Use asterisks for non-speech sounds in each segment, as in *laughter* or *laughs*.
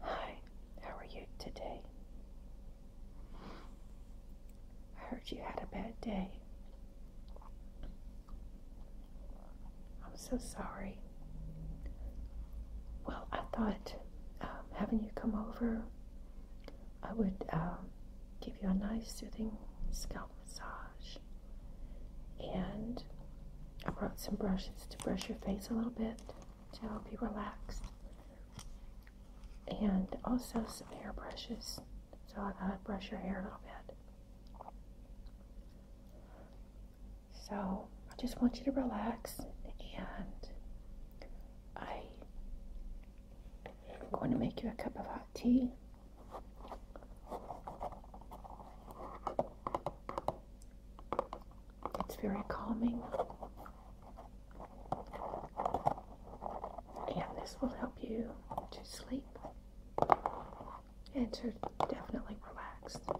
Hi, how are you today? I heard you had a bad day. I'm so sorry. Well, I thought um, having you come over, I would um, give you a nice soothing scalp massage. And I brought some brushes to brush your face a little bit to help you relax. And also some hair brushes. So I gotta brush your hair a little bit. So I just want you to relax and I am going to make you a cup of hot tea. It's very calming. And this will help you to sleep and to definitely relax. Okay.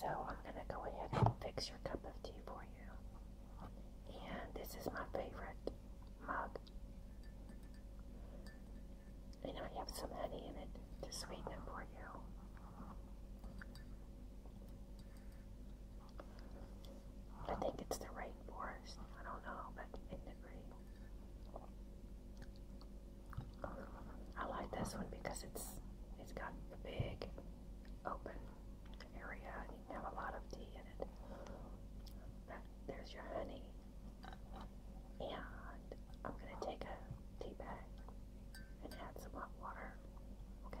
So I'm gonna go ahead and fix your cup of tea for you. And this is my favorite mug. And I have some honey in it to sweeten it for you. I think it's the rainforest. I don't know, but in the green. I like this one because it's it's got a big open area and you can have a lot of tea in it. there's your honey. And I'm gonna take a tea bag and add some hot water. Okay.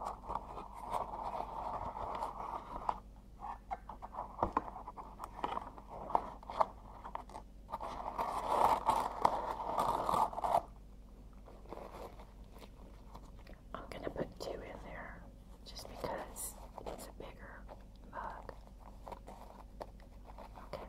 I'm going to put two in there just because it's a bigger mug. Okay.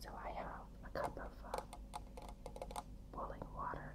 So I have a cup of uh, boiling water.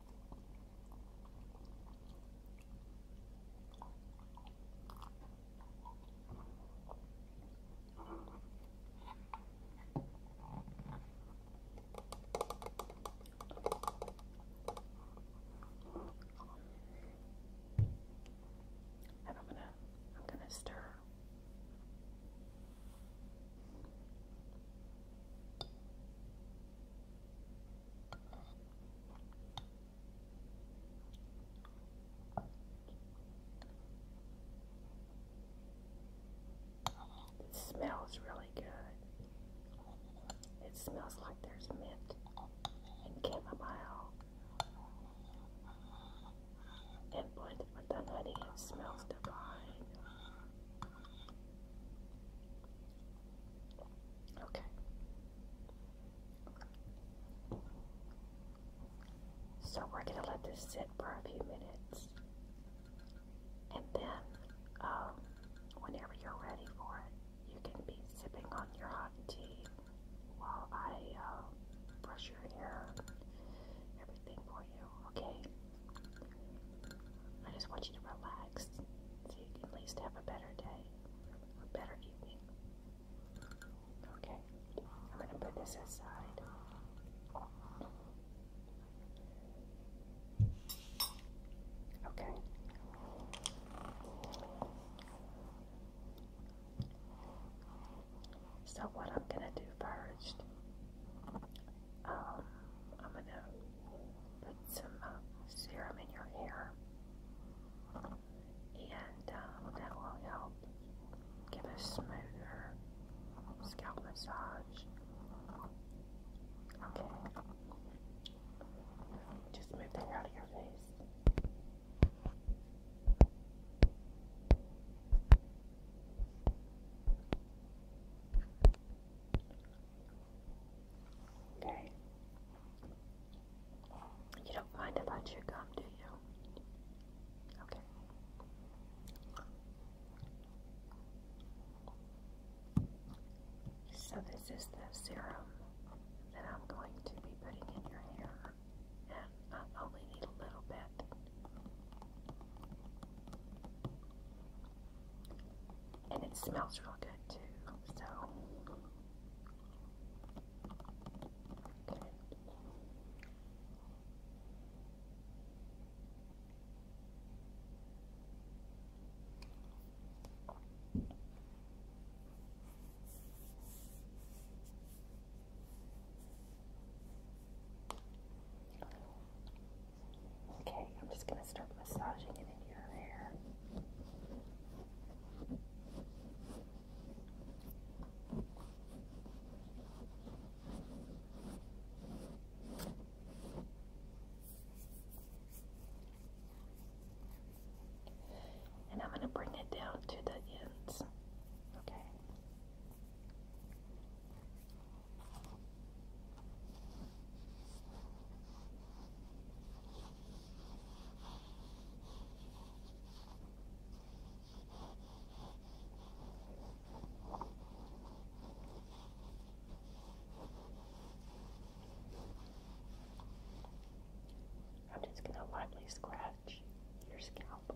And I'm gonna I'm gonna stir. It smells really good. It smells like there's mint and chamomile. And blended with the honey, smells divine. Okay. So we're going to let this sit for a few minutes. And then, um, whenever you're ready for it, you can be sipping on your hot tea while I uh, brush your hair everything for you, okay? I just want you to relax so you can at least have a better day, a better evening. Okay, I'm going to put this aside. Okay. So, what I'm going to do first um, I'm gonna put some uh, serum in your hair, and um, that will help give a smoother scalp massage. Okay, just move that out of your face. Okay. You don't mind if I chew gum, do you? Okay. So this is the serum that I'm going to be putting in your hair. And I only need a little bit. And it smells real good too, so. Okay, I'm just going to start massaging it in your hair. And I'm going to bring it down to the ends. Okay. I'm just going to lightly scratch your scalp.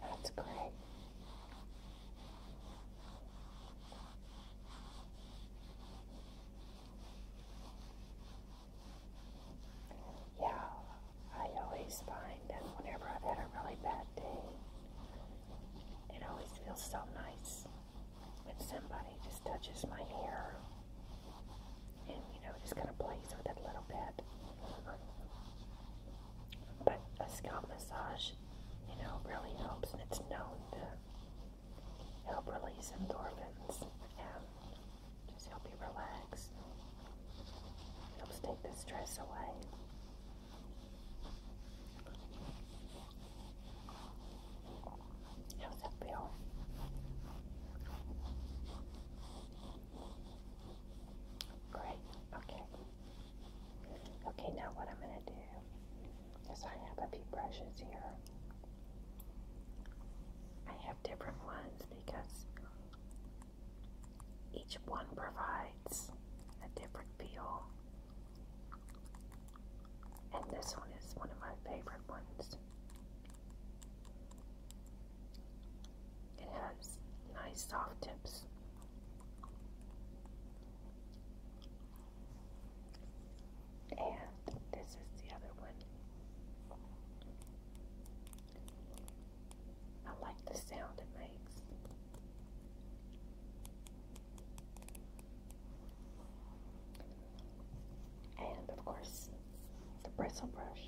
That's great. Yeah, I always find that whenever I've had a really bad day, it always feels so nice when somebody just touches my hair and, you know, just kind of plays with it a little bit. But a scalp massage, you know, really helps, and it's known to help release endorphins and just help you relax. Helps take the stress away. How's that feel? Great. Okay. Okay, now what I'm going to do is I have a few brushes here. I have different ones because each one provides a different feel. And this one is one of my favorite ones. It has nice soft tips. And this is the other one. I like the sound it makes. And of course, the bristle brush.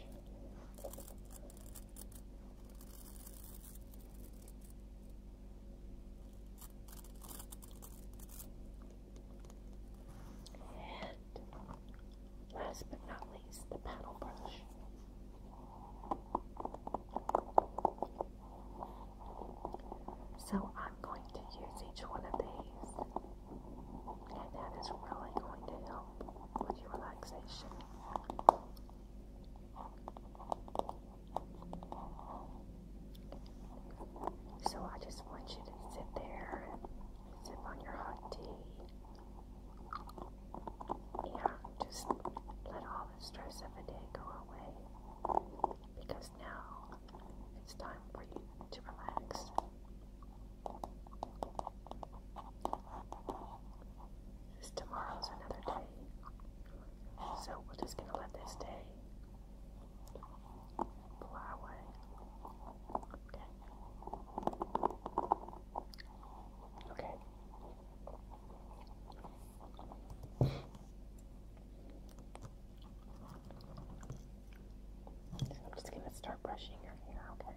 And last but not least, the paddle brush. So I'm going to use each one of these, and that is really going to help with your relaxation. So I just want you to sit there and sip on your hot tea. Yeah, just let all the stress of the day go away. Because now it's time for you to relax. Because tomorrow's another day. So we're just gonna let this day fly away. Okay. Okay. I'm just gonna start brushing your hair, okay?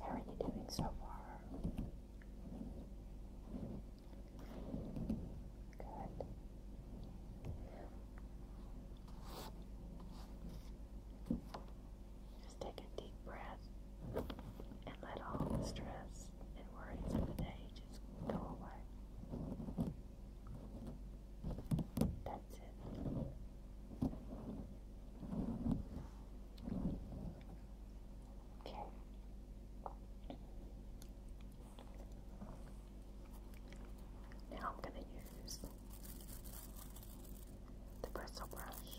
How are you doing so far? Good. Just take a deep breath and let all the stress and worries of the day just go away. That's it. Okay. Now I'm going to use the bristle brush.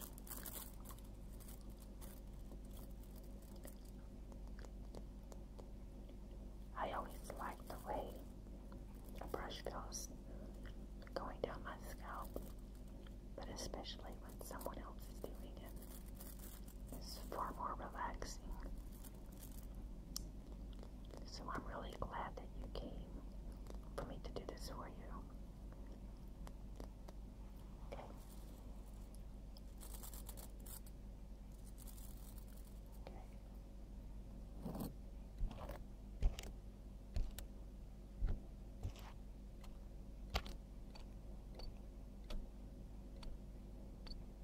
I always like the way a brush feels going down my scalp, but especially when someone else is doing it. It's far more relaxing so I'm really glad that you came for me to do this for you. Okay. Okay.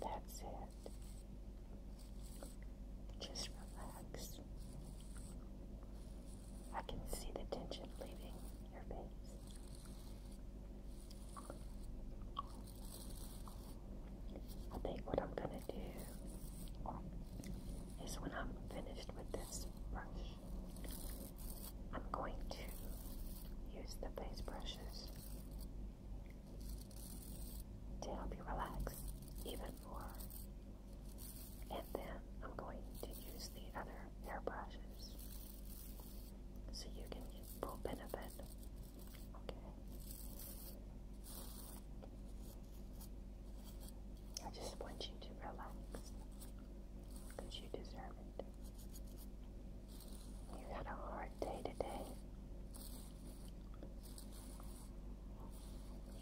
That's it. Just relax. I can see the tension leaving I think what I'm going to do is when I'm finished with this brush, I'm going to use the face brushes to help you relax even more. And then I'm going to use the other hair brushes so you can get full benefit. Okay. I just want you to relax because you deserve it. You had a hard day today,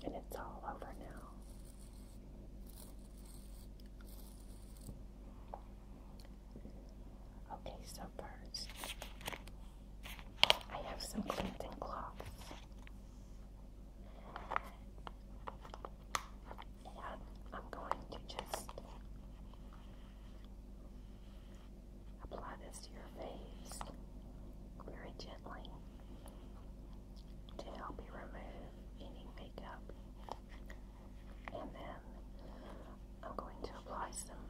and it's all over now. Okay, so first, I have some cleansing cloths. And I'm going to just apply this to your face very gently to help you remove any makeup and then I'm going to apply some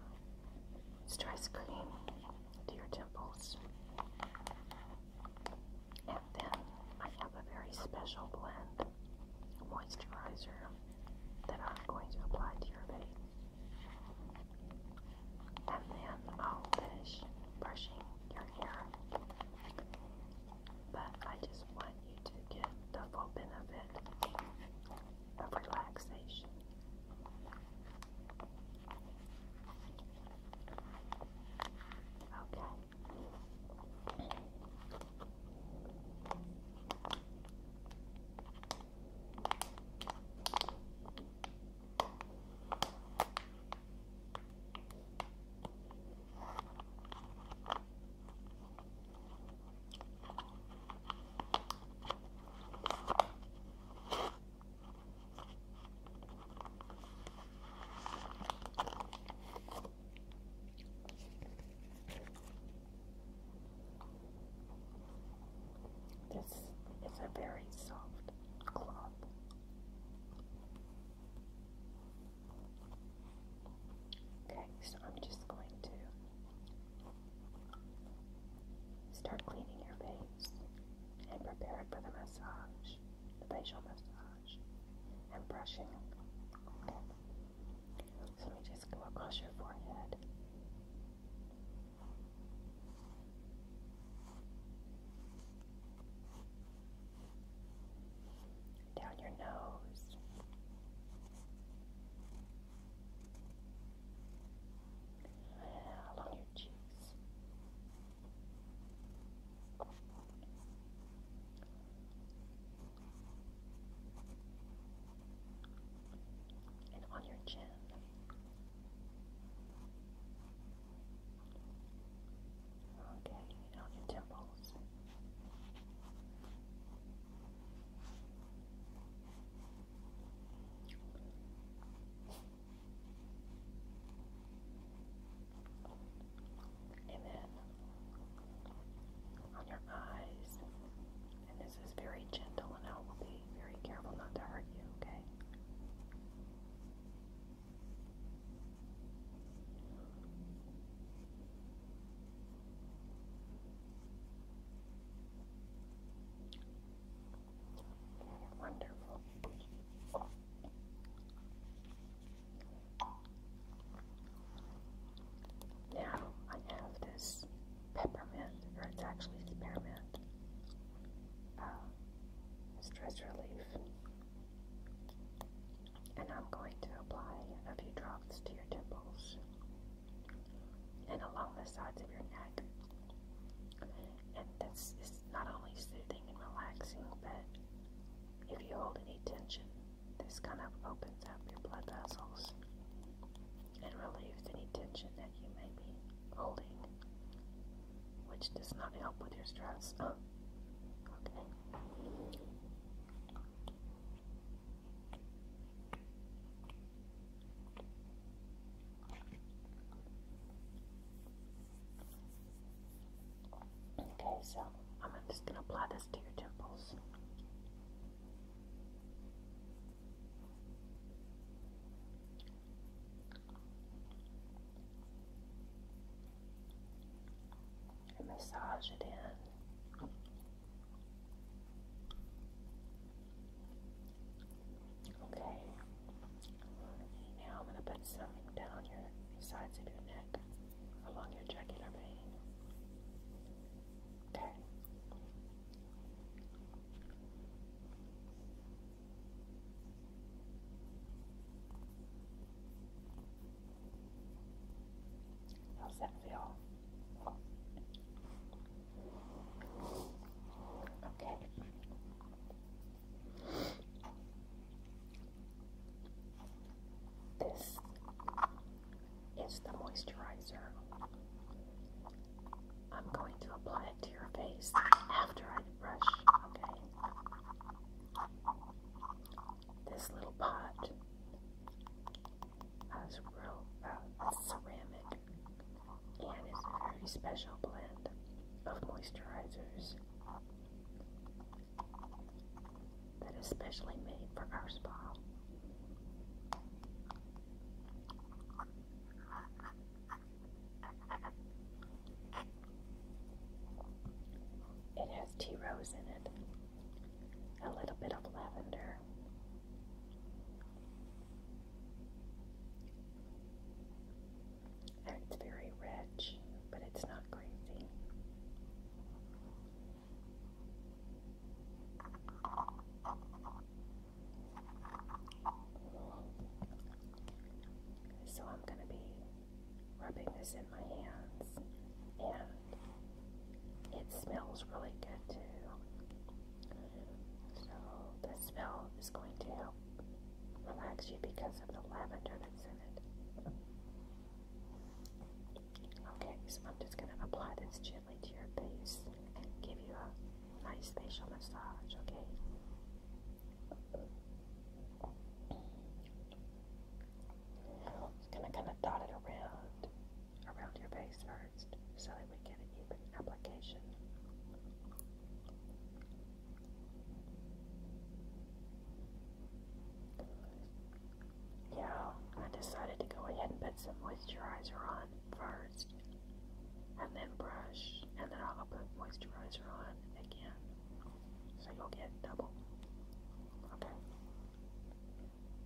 stress cream to your temples. And then I have a very special blend moisturizer that I'm going to apply to your face. And then I'll finish brushing your hair. But I just want you to get the full benefit of relaxation. Okay. This is a very soft cloth. Okay, so I'm just going to Start cleaning your face and prepare it for the massage, the facial massage, and brushing. Okay. let me just go across your forehead. Down your nose, along your cheeks. And on your chin. Okay, on your temples. And then on your eyes, and this is very gentle, and I will be very careful not to hurt you, okay? Wonderful. Now I have this peppermint, or it's actually spearmint. stress relief. And I'm going to apply a few drops to your temples and along the sides of your neck. And this is not only soothing and relaxing, but if you hold any tension, this kind of opens up your blood vessels and relieves any tension that you may be holding, which does not help with your stress. *laughs* Okay. Okay, so I'm just going to apply this to your temples. massage it in. Okay. Now I'm going to put something down your sides of your neck along your jugular vein. Okay. How's that feel? Okay. This is the moisturizer. I'm going to apply it to your face after I brush, okay? This little pot as real ceramic and is a very special blend of moisturizers that is specially made for our spa. It has tea rose in it a little bit of lavender. it's very rich, but it's not crazy. So I'm going to be rubbing this in my hands and it smells really good too. So the smell is going to help relax you because of the lavender that's in it. Okay, so I'm just going to apply this gently to your face and give you a nice facial massage, okay? It's gonna kind of dot it around, around your base first, so that we get an even application. Yeah, I decided to go ahead and put some moisturizer on first, and then brush, and then I'll put moisturizer on again, so you'll get double. Okay.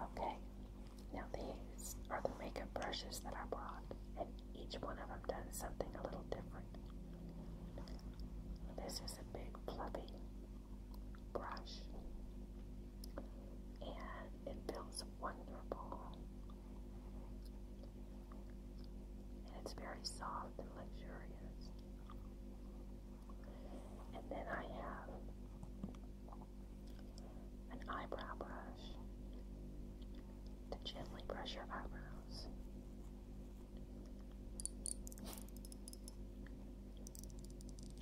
Okay, now these are the makeup brushes that I brought, and each one of them does something a little different. This is a big fluffy brush, and it feels wonderful and it's very soft and luxurious. And then I have an eyebrow brush to gently brush your eyebrows.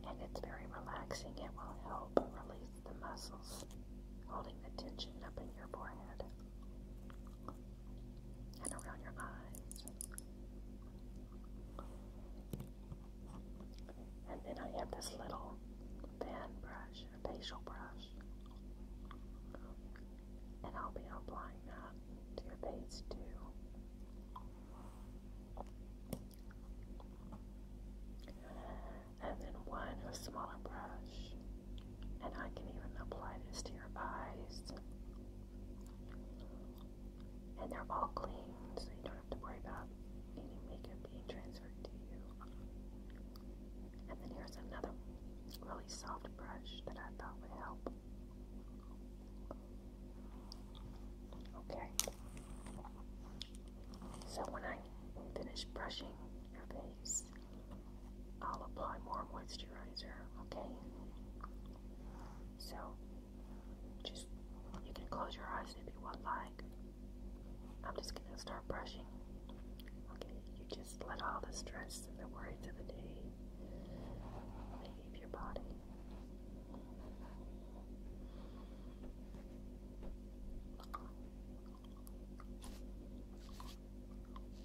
And it's very relaxing. It will help release the muscles holding the tension up in your forehead and around your eyes. And then I have this little fan brush, a facial brush. And I'll be applying that to your face too. And then one a smaller brush and I can even apply this to your eyes. And they're all clean, so you don't have to worry about any makeup being transferred to you. And then here's another really soft brush that I thought would help. Okay. So when I finish brushing your face, I'll apply more moisturizer, okay? So, just, you can close your eyes if you want, like. I'm just gonna start brushing. Okay, you just let all the stress and the worries of the day leave your body.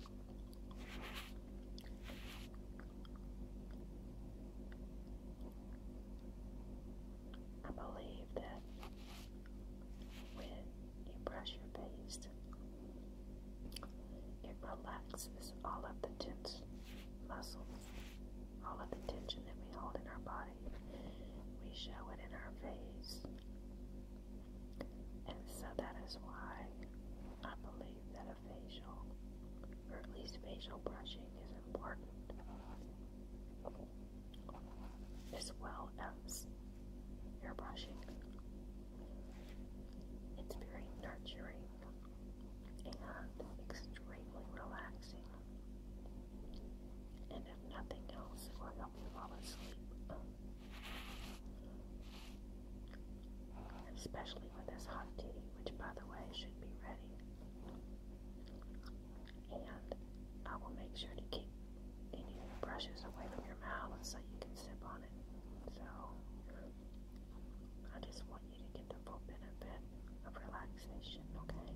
I believe that when you brush your face, it relaxes all of the tense muscles, all of the tension that we hold in our body. We show it in our face. And so that is why I believe that a facial, or at least facial brushing, is important as well as hair brushing. It's very nurturing and extremely relaxing. And if nothing else, it will help you fall asleep. Especially with this hot tea, which by the way should be ready. And I will make sure to keep any brushes away from your mouth so you can sip on it. So I just want you to get the full benefit of relaxation, okay?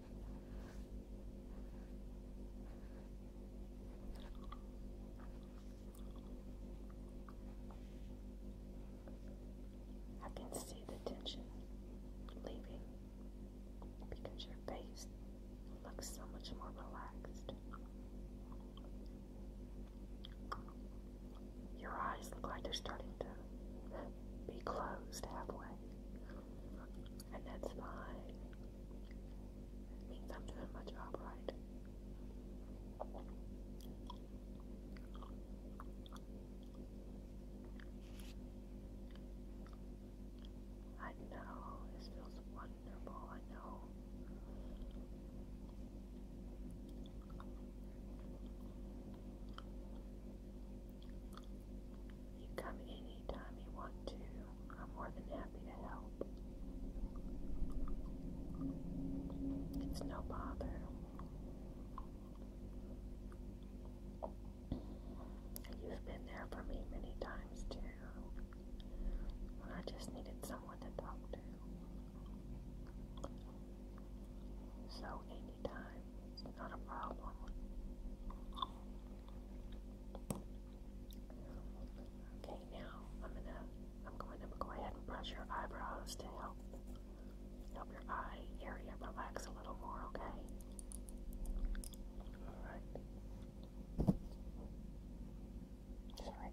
I can see the tension leaving because your face looks so much more relaxed. Your eyes look like they're starting to be closed halfway and that's fine. means I'm doing my job right. I know this feels wonderful, I know. You come anytime you want to. I'm more than happy to help. It's no bother. You've been there for me many times too. When I just needed someone to talk to. So anytime, not a problem. Okay, now I'm gonna I'm going to go ahead and brush your eyebrows to help help your eye area relax a little more, okay? Alright. Sorry. Okay.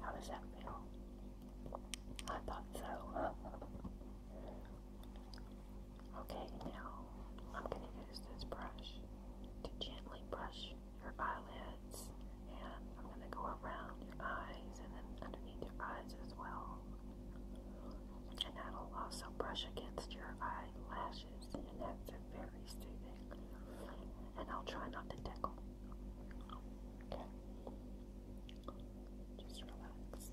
How does that feel? I thought so. *laughs* Okay, now I'm going to use this brush to gently brush your eyelids, and I'm going to go around your eyes and then underneath your eyes as well. And that'll also brush against your eye lashes, and that's very soothing. And I'll try not to tickle. Okay. Just relax.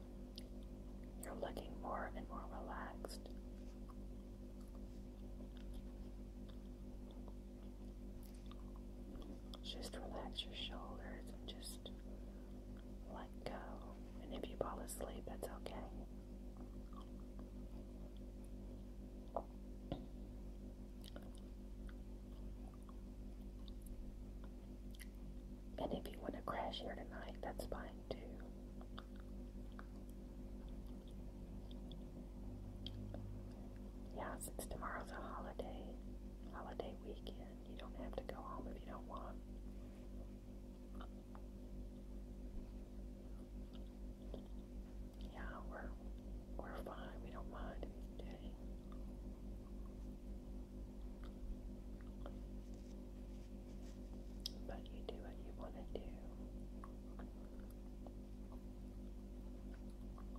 You're looking more and more relaxed. Just relax your shoulders and just let go. And if you fall asleep, that's okay. And if you want to crash here tonight, that's fine too. Yeah, since tomorrow's a holiday, holiday weekend, you don't have to go home if you don't want. Yeah, we're we're fine. We don't mind if but you do what you want to do.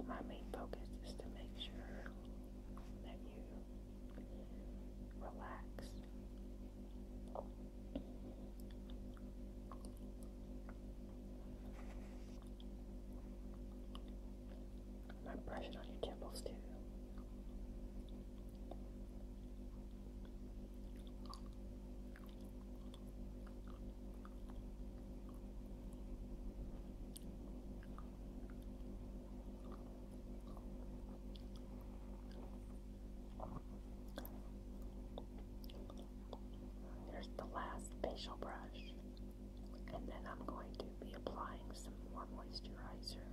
My main focus is to make sure that you relax. I'm brushing on your temples too. There's the last facial brush, and then I'm going to be applying some more moisturizer.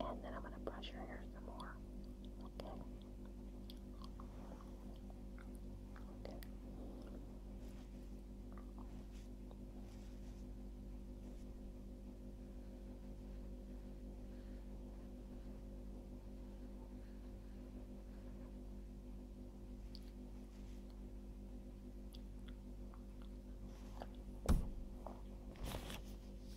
And then I'm going to brush your hair some more. Okay. Okay.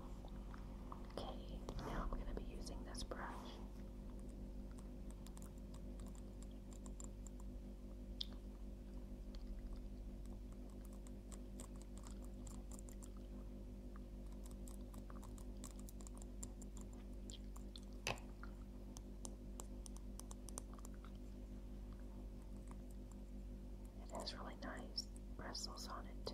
Okay, now I'm going to be using this brush. It has really nice bristles on it, too.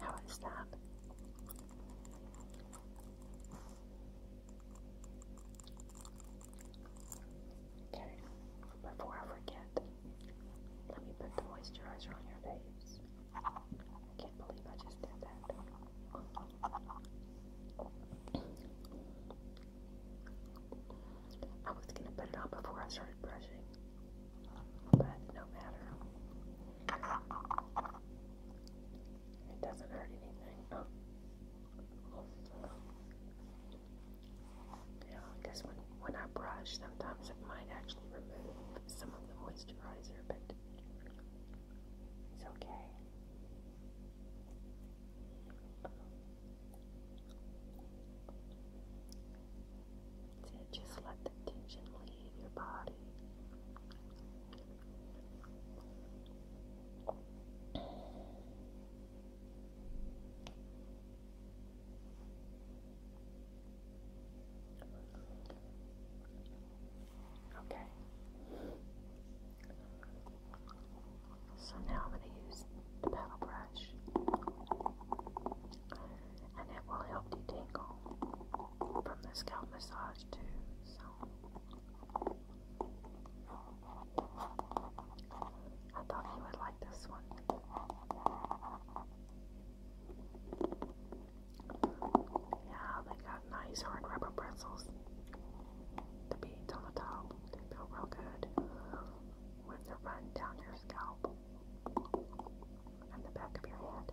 How is that? Okay, before I forget, let me put the moisturizer on your face. I can't believe I just did that. I was gonna put it on before I started brushing, but no matter. It doesn't hurt anything. Oh. Yeah, because when, when I brush, sometimes it might actually remove some of the moisturizer, but it's okay. just let the tension leave your body. Okay. So now I'm going to use the paddle brush and it will help detangle from the scalp massage too. So I thought you would like this one. Yeah, they got nice hard rubber pretzels to beat on the top. feel real good with the run down your scalp and the back of your head.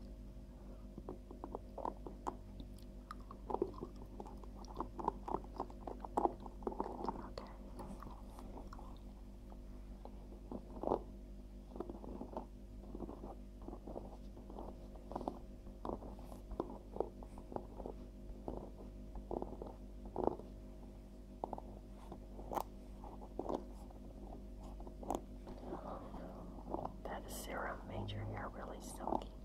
That serum made your hair really silky.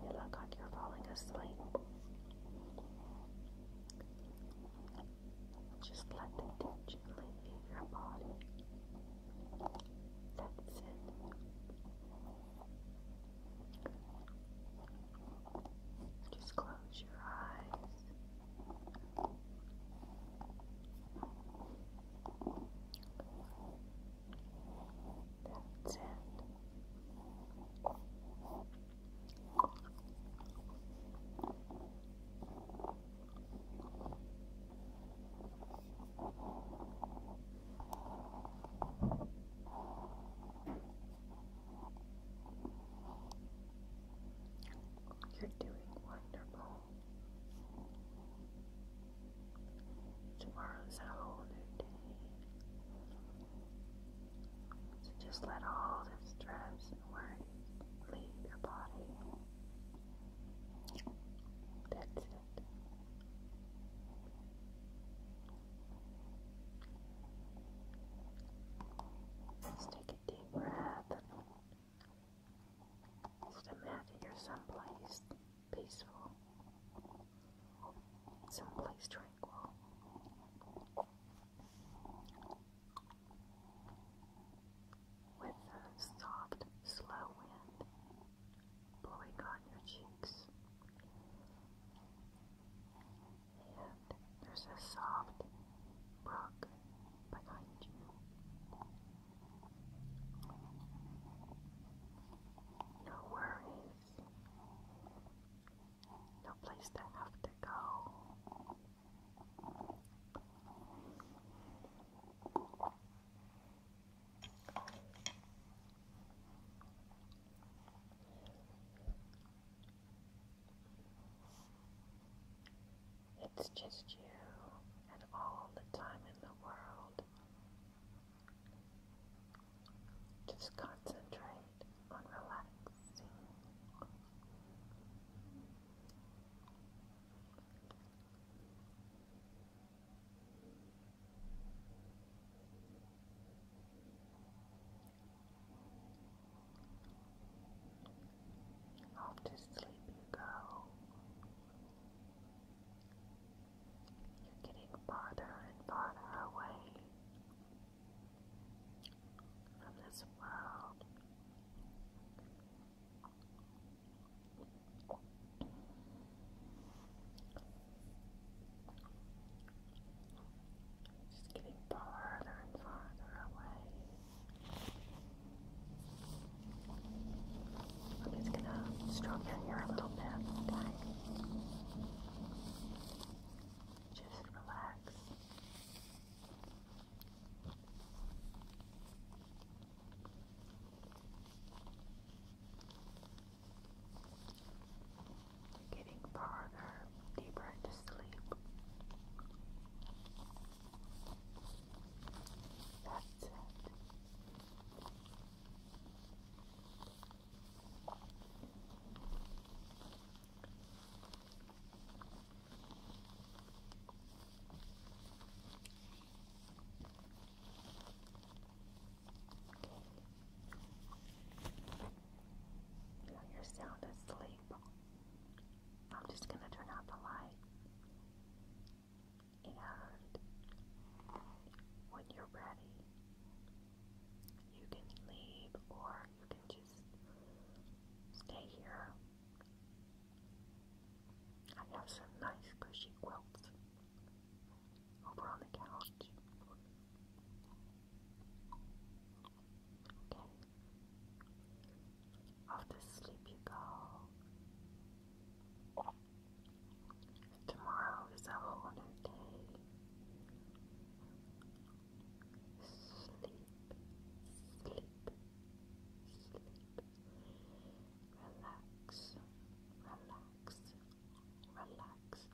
You look like you're falling asleep. Just let the tension leave your body. That's it. Just close your eyes. That's it. You're doing wonderful. Tomorrow's a whole new day. So just let all the stress and worries leave your body. That's it. Let's take a deep breath imagine you someplace peaceful, someplace tranquil. With a soft, slow wind blowing on your cheeks. And there's a soft brook behind you. No worries. No place to have to go. It's just you and all the time in the world. Just concentrate on relaxing. Off to sleep you go. You're getting farther and farther away from this world. Just getting farther and farther away. I'm just gonna stroke your hair a little bit, okay? Just relax. You're getting farther, deeper into sleep you're sound asleep. I'm just going to turn out the light and when you're ready, you can leave or you can just stay here. I have some nice cushy quilts over on the couch. Okay. Off to sleep you go. Tomorrow is a whole new day. Sleep, sleep, sleep. Relax, relax, relax.